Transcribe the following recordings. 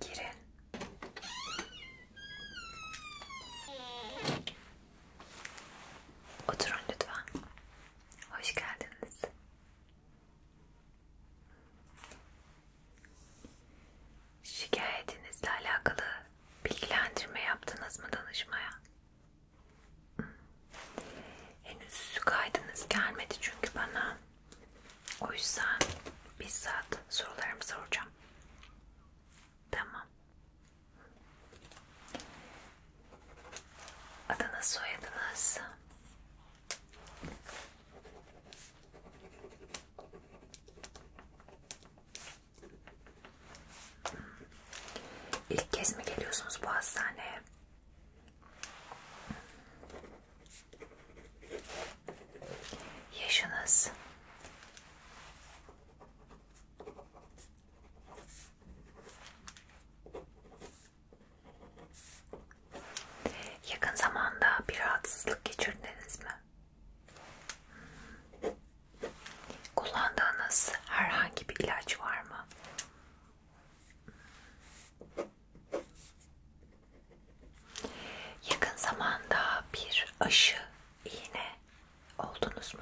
Girin. Oturun lütfen. Hoş geldiniz. Şikayetinizle alakalı bilgilendirme yaptınız mı danışmaya? Henüz kaydınız gelmedi çünkü bana. O yüzden bizzat sorularımı soracağım. Tamam. Adınız soyadınız. İlk kez mi geliyorsunuz bu hastaneye? Yaşınız. Yakın zamanda bir rahatsızlık geçirdiniz mi? Kullandığınız herhangi bir ilaç var mı? Yakın zamanda bir aşı iğne oldunuz mu?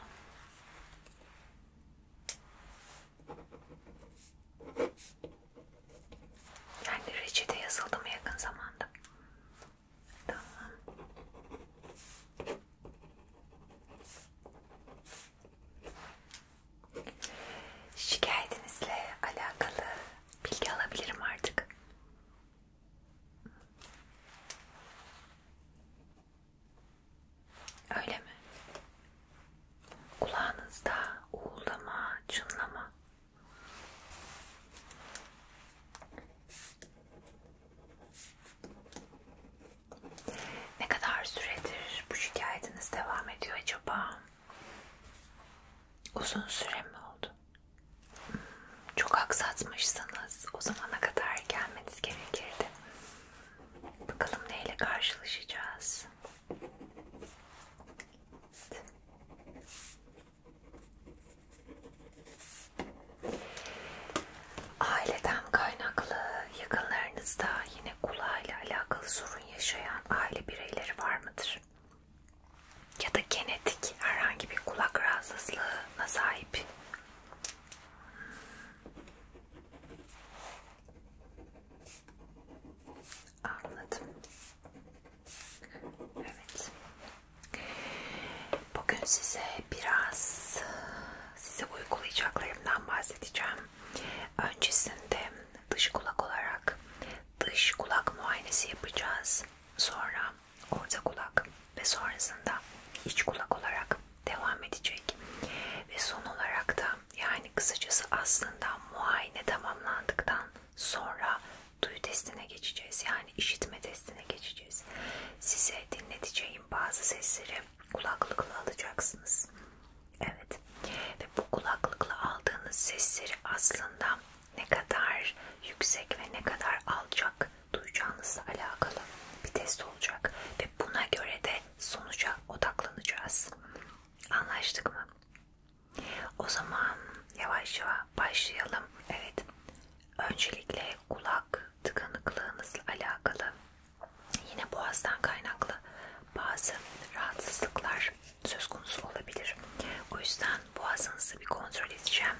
Yani reçete yazıldı mı yakın zamanda? Tamam. Şikayetinizle alakalı bilgi alabilirim artık. Öyle mi? Kulağınızda uğuldama, çınlama. Ne kadar süredir bu şikayetiniz devam ediyor acaba? Uzun süre mi oldu? Hmm, çok aksatmışsınız. O zamana kadar gelmeniz gerekirdi. Bakalım neyle karşılaşacağız. Evet. Aileden kaynaklı yakınlarınızda yine kulağıyla alakalı sorun yaşayan aile bireyleri var mıdır? Ya da genetik herhangi bir kulak rahatsızlığına sahip? Anladım. Evet. Bugün size biraz size uygulayacaklarımdan bahsedeceğim. Öncesinde dış kulak olarak dış kulak muayenesi yapacağız. Sonra orta kulak ve sonrasında iç kulak olarak devam edecek. Ve son olarak da yani kısacası aslında muayene tamamlandıktan sonra duyu testine geçeceğiz. Yani işitme testine geçeceğiz. Size dinleteceğim bazı sesleri kulaklıkla alacaksınız. Evet. Ve bu kulaklıkla aldığınız sesleri aslında ne kadar yüksek ve ne kadar alçak duyacağınızla alakalı bir test olacak. Ve buna göre de sonuca odaklanacağız. Anlaştık mı? O zaman yavaş yavaş başlayalım. Evet. Öncelikle kulak tıkanıklığınızla alakalı Yine boğazdan kaynaklı bazı rahatsızlıklar söz konusu olabilir. O yüzden boğazınızı bir kontrol edeceğim.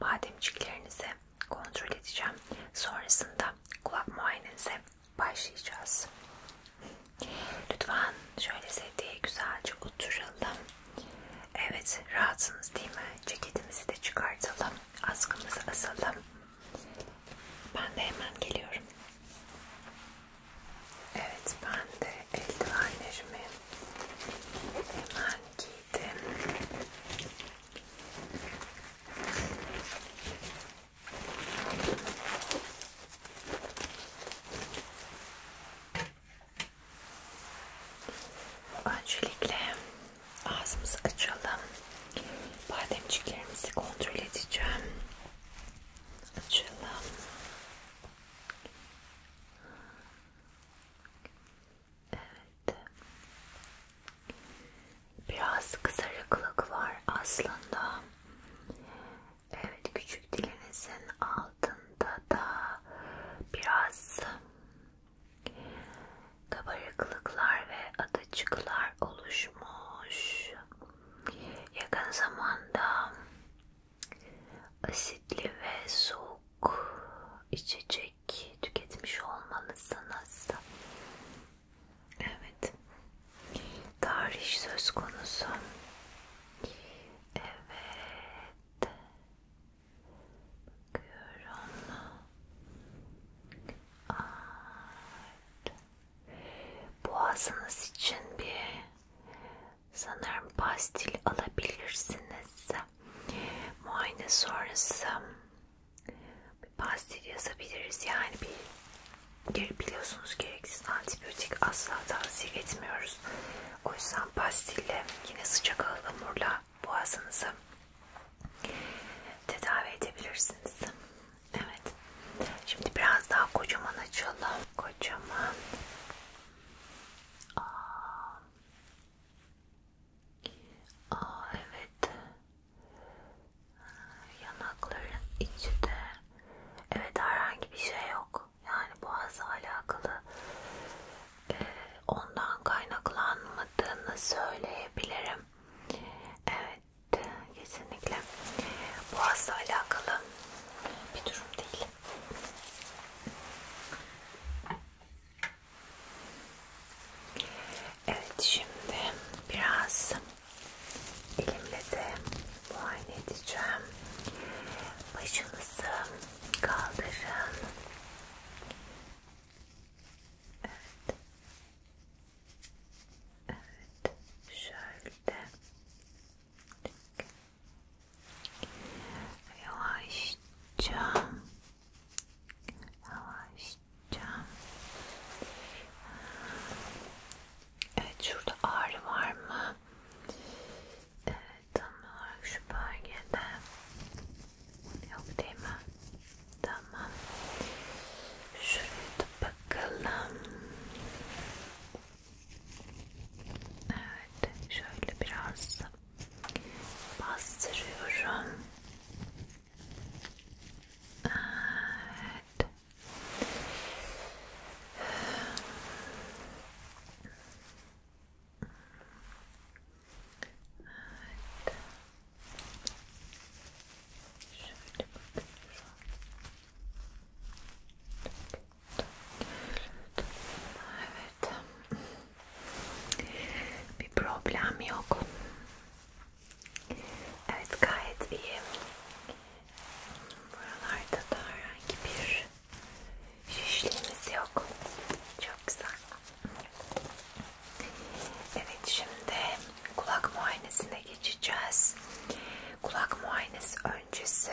Bademciklerinizi kontrol edeceğim. Sonrasında kulak muayenenize başlayacağız. Lütfen şöyle sedyeye güzelce oturalım. Evet rahatsınız değil mi? Ceketimizi de çıkartalım. Askımızı asalım. Ben de hemen geliyorum. Evet ben de eldivenlerimi hemen giydim. Öncelikle ağzımızı açalım bademciklerimizi kontrol edeceğim. Açalım. Evet. Biraz kızarıklık var aslında. Evet, küçük dilinizin altında da biraz kabarıklıklar ve adacıklar oluşuyor oluşmuş. Yakın zamanda asitli ve soğuk içecek tüketmiş olmalısınız. Evet. Tarih söz konusu. Evet. Bakıyorum. Art boğazınız için bir sanırım pastil alabilirsiniz. Muayene sonrası bir pastil yazabiliriz. Yani bir biliyorsunuz gereksiz antibiyotik asla tavsiye etmiyoruz. O yüzden pastille yine sıcak ıhlamurla boğazınızı tedavi edebilirsiniz. Evet. Şimdi biraz daha kocaman açalım. Kocaman. Aa. Aa, evet. Yanakların içi de. Evet herhangi bir şey yok. Yani boğazla alakalı ee, ondan kaynaklanmadığını söyleyebilirim. Evet Evet, kesinlikle boğazla alakalı bir durum değil. Evet, şimdi biraz elimle de muayene edeceğim. Başınızı kaldırın. Evet. Evet, şöyle yavaşça yavaşça Evet şurada ağrı var mı? Evet tam olarak şu bölgede yok değil mi? Tamam. Şuraya da bakalım. Evet. Şöyle biraz bastırıyorum. Evet. Evet. Şöyle bakıyorum. Evet. Bir problem yok. Evet gayet iyi. Buralarda da herhangi bir şişliğimiz yok. Çok güzel. Evet şimdi kulak muayenesine geçeceğiz. Kulak muayenesi öncesi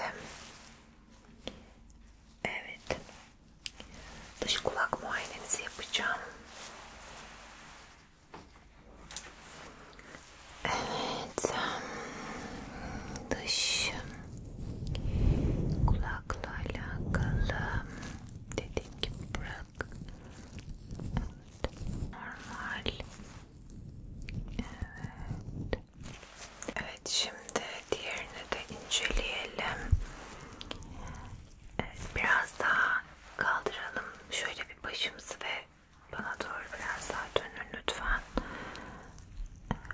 Evet. Dış kulak muayenenizi yapacağım. Evet. Dış kulakla alakalı dediğim gibi bırak Normal. Evet. Evet şimdi diğerini de inceleyelim. Evet, biraz daha kaldıralım. Şöyle bir başımızı ve bana doğru biraz daha dönün lütfen. Evet. Evet.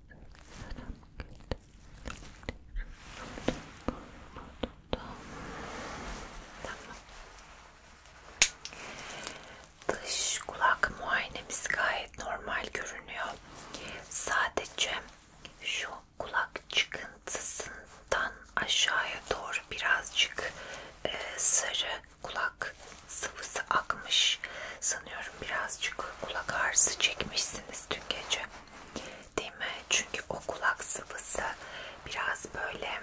Tamam. Dış kulak muayenemiz gayet normal görünüyor. Sadece şu kulak çıkıntısından aşağıya doğru birazcık e, sarı kulak sıvısı akmış. Sanıyorum birazcık kulak ağrısı çekmişsiniz dün gece. Değil mi? Çünkü o kulak sıvısı biraz böyle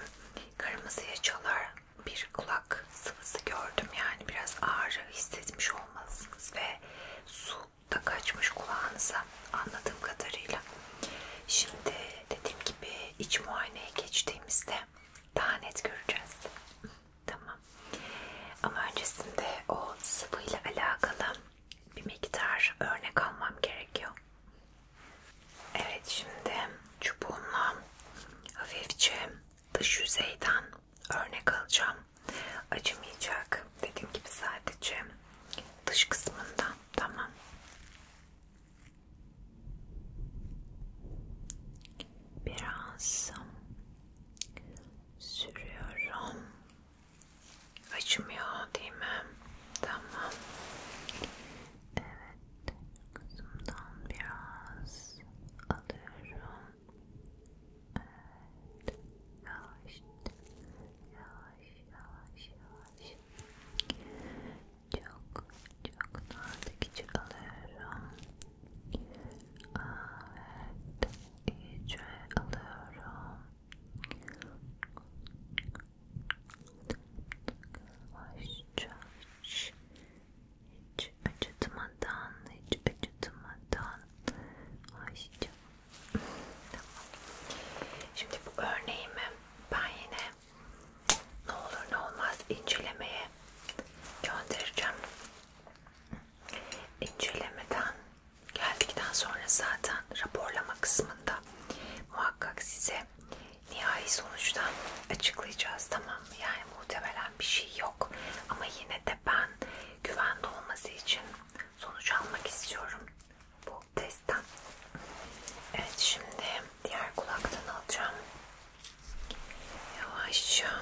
kırmızıya çalar bir kulak sıvısı gördüm. Yani biraz ağrı hissetmiş olmalısınız ve su da kaçmış kulağınıza anladığım kadarıyla. Şimdi dediğim gibi iç muayeneye geçtiğimizde daha net göreceğiz. Tamam. Ama öncesinde o sıvıyla alakalı bir miktar örnek almam gerekiyor. Evet şimdi çubuğumla hafifçe dış yüzeyden örnek alacağım. Acımayacak. Dediğim gibi sadece dış kısmından. Tamam. Biraz sürüyorum. Açmıyor değil mi? Tamam. Evet. Kızımdan biraz alıyorum. Yavaş. Yavaş. Yavaş. Çok. Çok nazik alıyorum. Evet. iyice alıyorum. Yavaşça hiç, hiç acıtmadan, hiç acıtmadan. Ayşe. Tamam. Şimdi bu örneğimi ben yine ne olur ne olmaz incelemeye göndereceğim incelemeden geldikten sonra zaten raporlama kısmında muhakkak size nihai sonuçtan açıklayacağız tamam mı? Yani muhtemelen bir şey yok ama yine de ben güvende olması için sonuç almak istiyorum bu testten. Evet şimdi diğer kulaktan alacağım. Yavaşça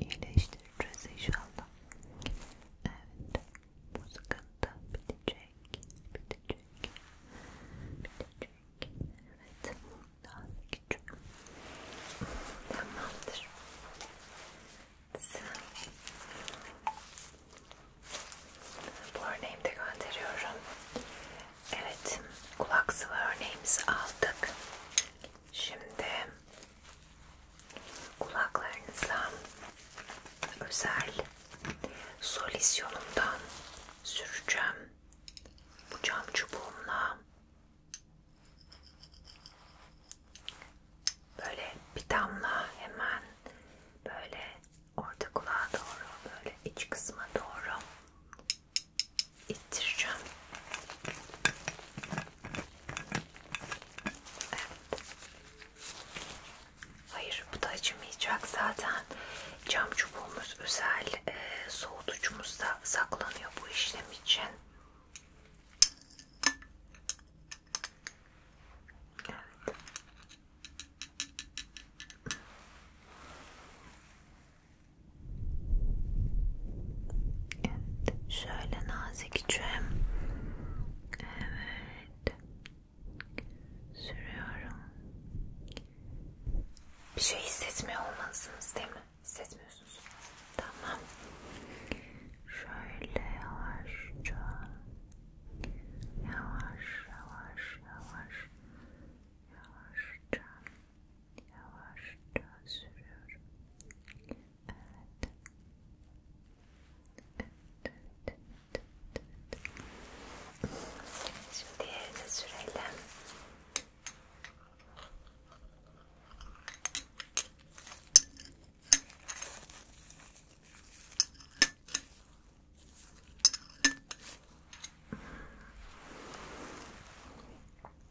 iyileştireceğiz inşallah. Evet, bu sıkıntı bitecek, bitecek, bitecek. Evet, daha küçük. Tamamdır. Bu örneğimi de gönderiyorum. Evet, kulak sıvı örneğimizi aldık. Şimdi kulaklarınıza özel solüsyonumdan süreceğim. Bu cam çubuğumla böyle bir damla hemen böyle orta kulağa doğru böyle iç kısma doğru ittireceğim. Evet. Hayır bu da acımayacak zaten cam çubuğumuz özel e, soğutucumuzda saklanıyor bu işlem için. Evet. Evet, şöyle nazik içim. Evet. Sürüyorum. Bir şey hissetmiyor olmalısınız değil mi? Hissetmiyorsunuz. Tamam. Şöyle yavaşça. Yavaş yavaş yavaş. Yavaşça. yavaşça sürüyorum. Evet. Evet, evet, evet, Şimdi diğerine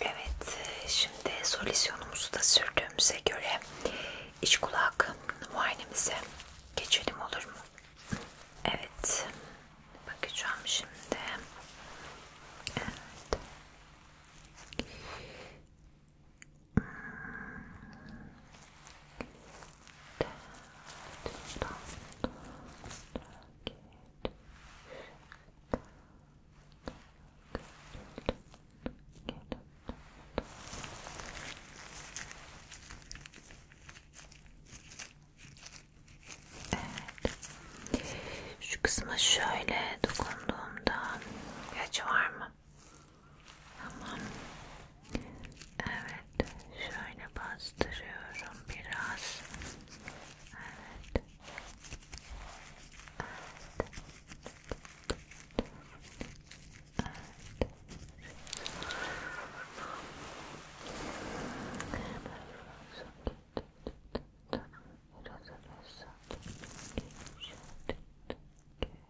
Evet, şimdi solüsyonumuzu da sürdüğümüze göre iç kulak muayenemize geçelim olur mu? Evet, bakacağım şimdi. Evet. Evet. Şu kısma şöyle dokunduğumda kaç var mı? Tamam. Evet, şöyle bastırıyorum biraz. Evet. Evet. Evet. Biraz arası. Şöyle. Şöyle.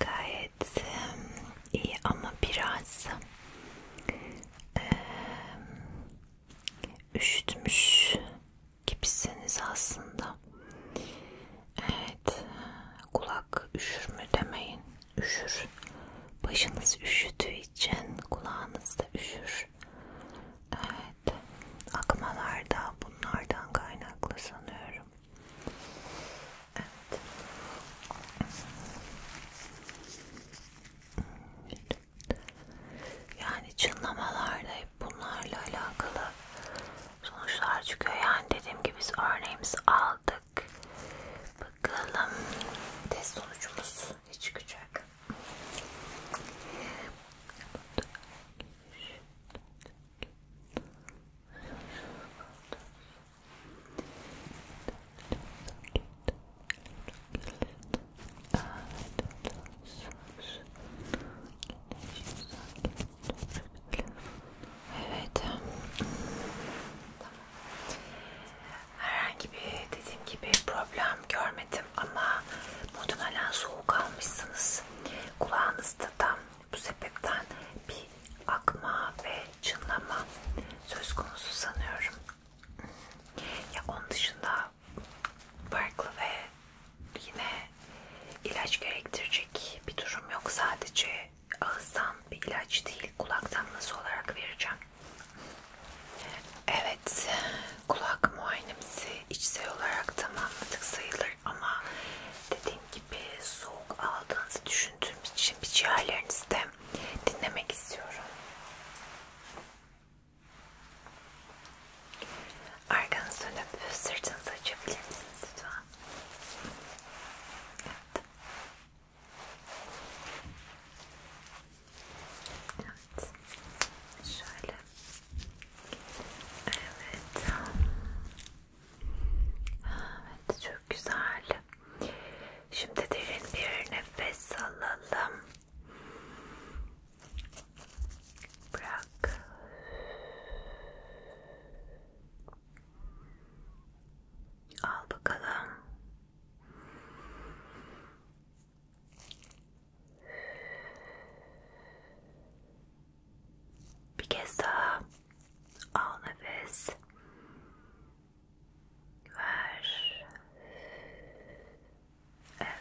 Gayet iyi ama biraz e, üşütmüş gibisiniz aslında. Evet, kulak üşür mü demeyin, üşür. Başınız üşüdüğü için kulağınız da üşür. Evet, akmalar da bunlardan kaynaklı sanıyorum. Evet. Evet. Yani çınlamalarla hep bunlarla alakalı sonuçlar çıkıyor. Yani dediğim gibi biz örneğimizi aldık. Bakalım test sonucumuz ne çıkacak. Evet. Tamam. Herhangi bir dediğim gibi problem görmedim ama muhtemelen soğuk almışsınız. Kulağınızda tam bu sebepten bir akma ve çınlama söz konusu sanıyorum. Ya onun dışında farklı ve yine ilaç gerektirecek bir durum yok. Sadece ağızdan bir ilaç değil, kulak damlası olarak vereceğim. Evet, kulak muayenemizi içsel olarak tamamladık sayılır ama dediğim gibi soğuk aldığınızı düşündüğüm için bir ciğerlerinizde dinlemek istiyorum. Arkanızı dönüp sırtınızı açabilir misiniz lütfen? Evet. Evet. Şöyle. Evet. Evet çok güzel. Şimdi derin bir nefes alalım. Bırak. Al bakalım. Bir kez daha al nefes. Ver. Evet.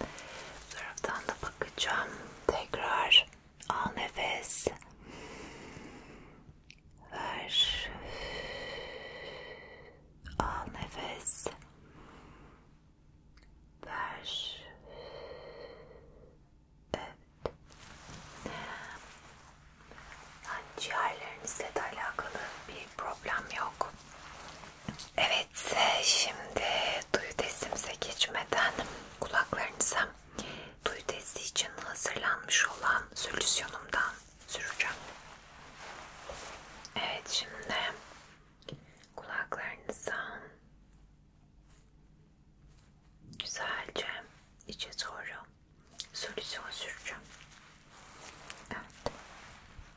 Bu taraftan da bakacağım. Tekrar al nefes. Ver. Al nefes. Ver. Evet. Yani ciğerlerinizle de alakalı bir problem yok. Evet. Evet, şimdi duyu testimize geçmeden kulaklarınıza duyu testi için hazırlanmış olan solüsyonumdan süreceğim. Evet, şimdi kulaklarınıza güzelce içe doğru solüsyon süreceğim. Evet.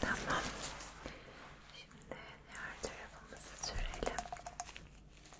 Tamam. Şimdi diğer tarafımızı sürelim.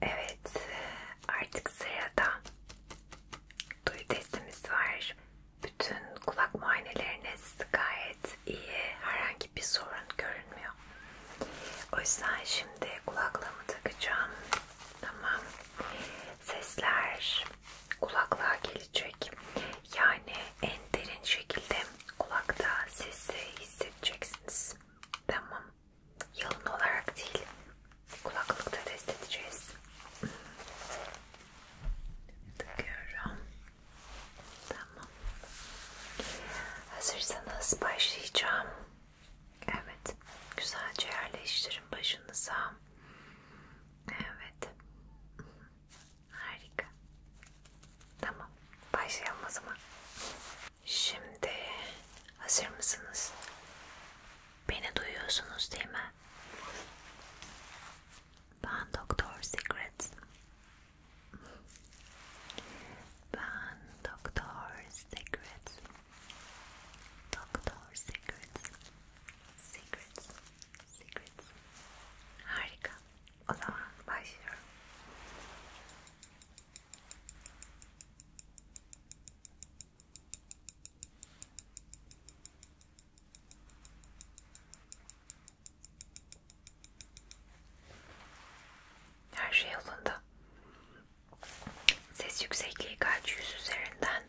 Evet, artık sırada duyu testimiz var. Bütün kulak muayeneleriniz gayet iyi, herhangi bir sorun görünmüyor. O yüzden şimdi kulaklığımı takacağım. Tamam. Sesler kulaklığa gelecek. Yani en derin şekilde kulakta sesi hissedeceksiniz. Tamam. Yalın olarak değil. Kulaklıkta test edeceğiz. Takıyorum. Tamam. Hazırsanız başlayacağım. Evet. Güzelce yerleştirin başınıza. Evet. Harika. Tamam. Başlayalım o zaman. Şimdi hazır mısınız? Beni duyuyorsunuz değil mi? Ben Doktor Secret. Ben Doktor Secret. Doktor Secret. Secrets. Secrets. Harika. O zaman başlıyorum. Her şey yolunda. Ses yüksekliği kaç yüz üzerinden?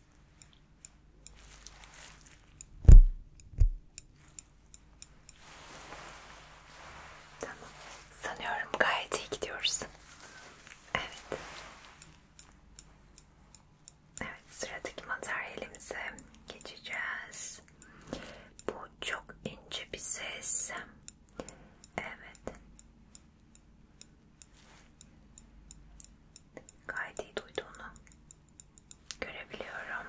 Tamam. Sanıyorum gayet iyi gidiyoruz. Evet. Evet, sıradaki materyalimize geçeceğiz. Bu çok ince bir ses. Evet. Gayet iyi duyduğunu görebiliyorum.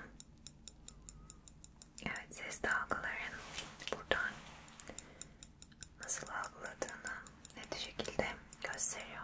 Evet ses dalgaların buradan nasıl algıladığını net şekilde gösteriyor.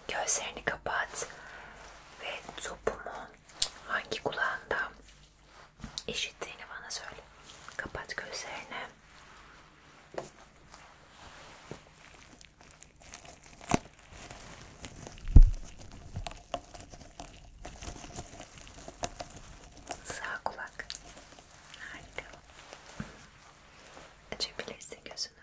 Gözlerini kapat ve topumu hangi kulağında eşittiğini bana söyle. Kapat gözlerini. Sağ kulak. Harika. Açabilirsin gözünü.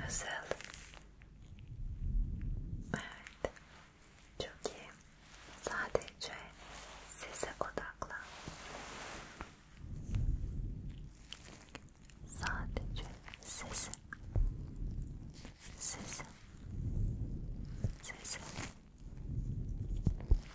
nasıl? Evet, çok Sadece sese odaklan. Sadece sese, sese, sese.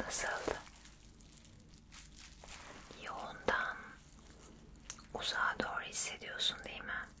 Nasıldı? Yoğundan uzağa doğru hissediyorsun değil mi?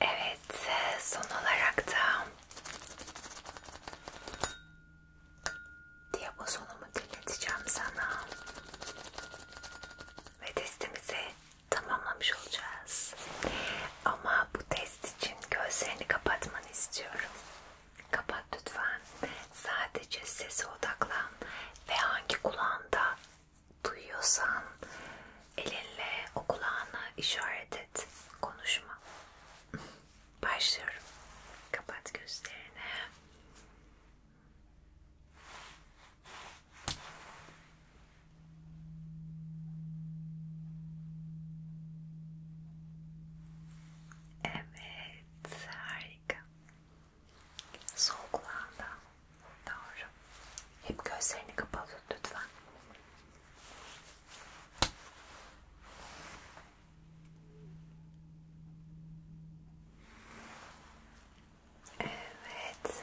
Evet, son olarak da diapozonumu dinleteceğim sana ve testimizi tamamlamış olacağız. Ama bu test için gözlerini kapatmanı istiyorum. Kapat lütfen. Sadece sese odaklan ve hangi kulağında duyuyorsan elinle o kulağına işaret et. Konuşma. Başlıyorum. Kapat gözlerini. Evet, harika. Sol kulağında. Doğru. Hep gözlerini kapalı tut lütfen. Evet.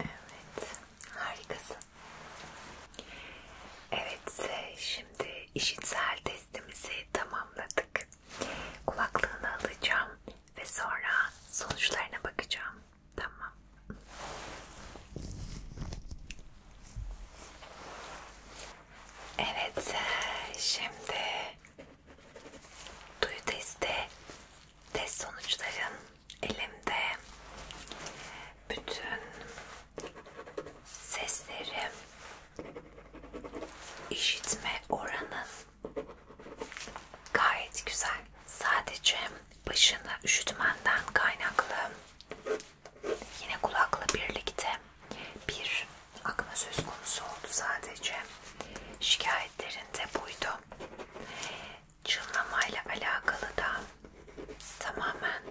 Evet, harikasın. Evet, şimdi işitsel testimizi tamamladık. Kulaklığını alacağım ve sonra sonuçlarına bakacağım. Tamam. Evet, şimdi duyu testi, test sonuçların elimde. Bütün seslerim, işitme oranın gayet güzel. Sadece başını üşütmenden kaynaklı yine kulakla birlikte bir akma söz konusu oldu sadece. Şikayetlerinde buydu. Çınlamayla alakalı da tamamen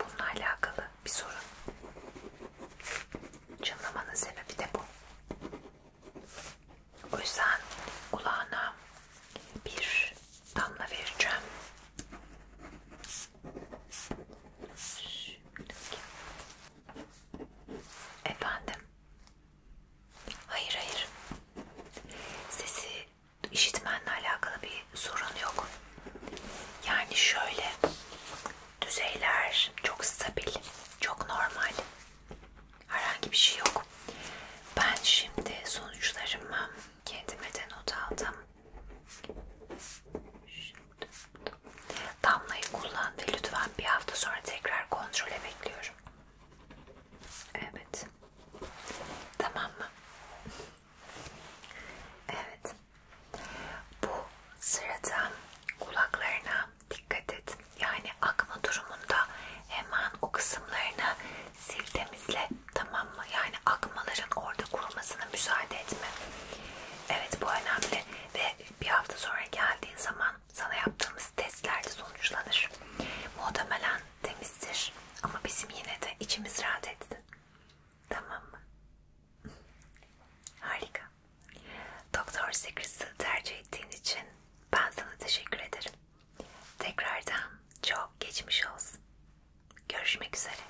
bununla alakalı bir sorun. Çınlamanın sebebi de bu. O yüzden kulağına bir damla vereceğim. Efendim? Hayır hayır. Sesi işitmenle alakalı bir sorun yok. Yani şöyle düzeyler çok stabil, çok normal. Herhangi bir şey yok. Ben şimdi sonuçlarımı kendime de not aldım. Şimdi Damlayı kullan ve lütfen bir hafta sonra tekrar kontrole bekliyorum. Evet. Tamam mı? Evet. Bu sırada kulaklarına dikkat et. Yani akma durumunda hemen o kısımlarını sil temizle. Tamam mı? Yani akmaların orada kurumasına müsaade etme. Evet bu önemli bence ve bir hafta sonra geldiğin zaman sana yaptığımız testlerde sonuçlanır. Muhtemelen temizdir ama bizim yine de içimiz rahat etsin. Tamam mı? Harika. Doktor Secrets'ı tercih ettiğin için ben sana teşekkür ederim. Tekrardan çok geçmiş olsun. Görüşmek üzere.